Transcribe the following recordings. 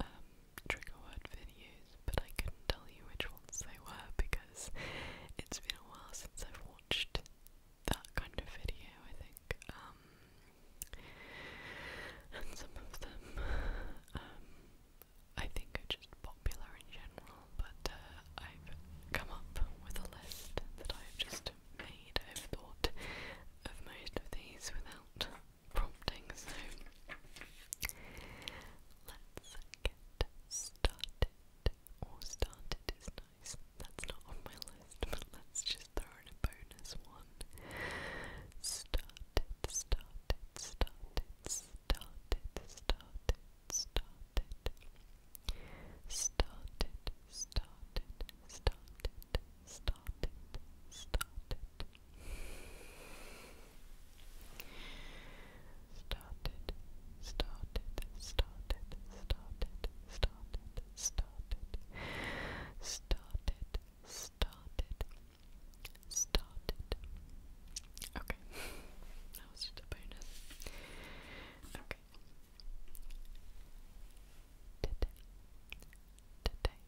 um, trigger word videos, but I couldn't tell you which ones they were because it's been a while since I've watched that kind of video, I think. Um, and some of them, um, I think are just popular in general, but uh, I've come up with a list that I've just made. I've thought of most of these without prompting, so let's get started. Or started is nice. That's not on my list, but let's just throw in a bonus one. Started, started, started, started, started, started. Started, started, started, started, started, started, started, started, started, started, started, started, started. Okay, that was just a bonus. Okay. Today, today,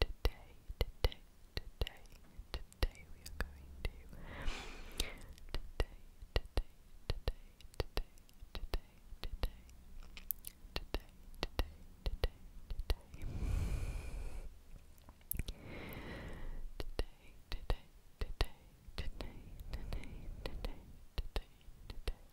today, today, today, today we are going to today, today, today, today, today, today, today, today, today. Today, today, today, today, today, today, today, today,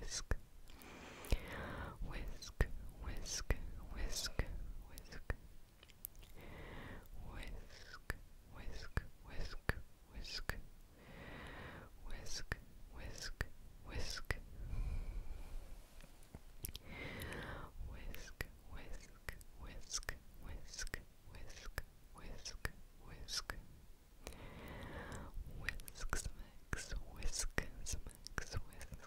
whisk, whisk, whisk, whisk, whisk, whisk, whisk, whisk, whisk, whisk, whisk, whisk. Whisk, whisk, whisk, whisk, whisk, whisk, whisk. Whisk smacks, whisk smacks, whisk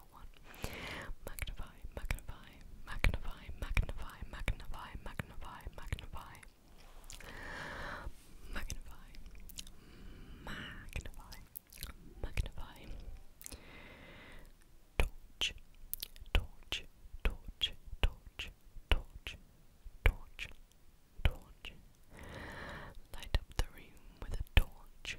difficult one. Magnify, magnify, magnify, magnify, magnify, magnify, magnify. Magnify, magnify, magnify. Torch, torch, torch, torch, torch, torch, torch. Light up the room with a torch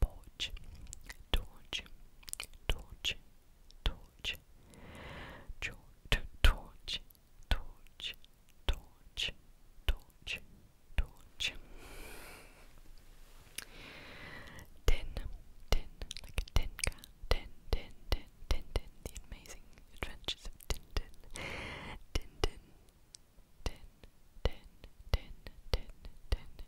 torch, torch, torch, torch, torch, torch, torch, torch, torch, torch. Tin, tin, like a tin can, tin, tin, tin, tin, tin, the amazing adventures of Tintin. Tintin, tin, tin, tin, tin, tin, tin,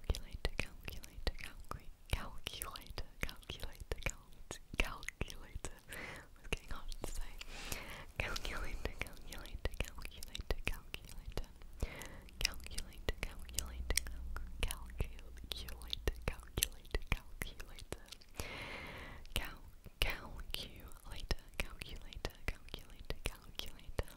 calculator, calculator, calculator, calculator, calculator, calculator, I was getting hard to say. Calculator, calculator, calculator, calculator. Calculator, calculator, calculator, calculator, calculator. Cal, calculator, calculator, calculator, calculator.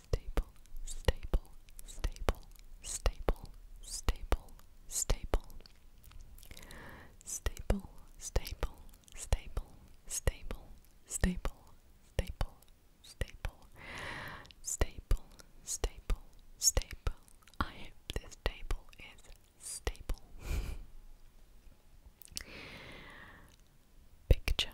staple, staple, staple, staple, staple, staple, staple, staple, staple, staple, staple, staple, staple, staple, staple, staple. I hope this table is stable. Picture,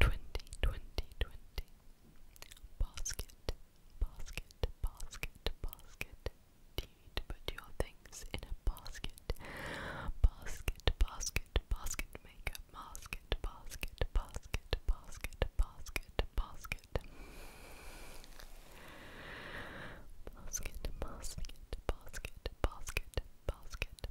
Twenty, twenty, twenty. Basket, basket, basket, basket. Do you need to put your things in a basket? Basket, basket, basket makeup, basket, basket, basket, basket, basket, basket. Basket, basket, basket, basket, basket,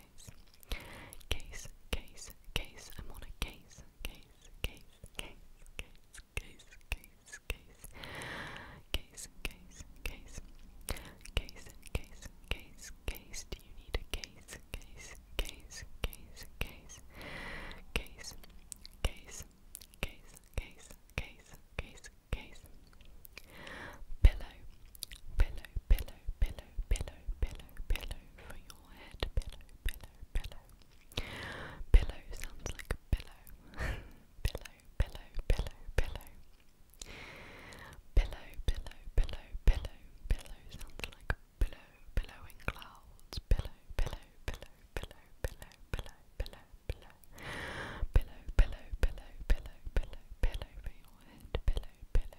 case. Case, case, case. I'm on a case, case, case, case, case, case, case, case. Case, case, case. Case, case, case, case. Do you need a case? Case, case, case, case. Case, case, case, case, case, case. Case pillow, pillow, pillow, pillow, pillow, pillow, pillow for your head. Pillow, pillow, pillow. Pillow sounds like a pillow. pillow, pillow, pillow, pillow. Pillow, pillow, pillow, pillow. Pillow sounds like a pillow, billowing clouds. Pillow, pillow, pillow, pillow, pillow, pillow, pillow, pillow. Pillow, pillow, pillow, pillow, pillow, pillow for your head. Pillow, pillow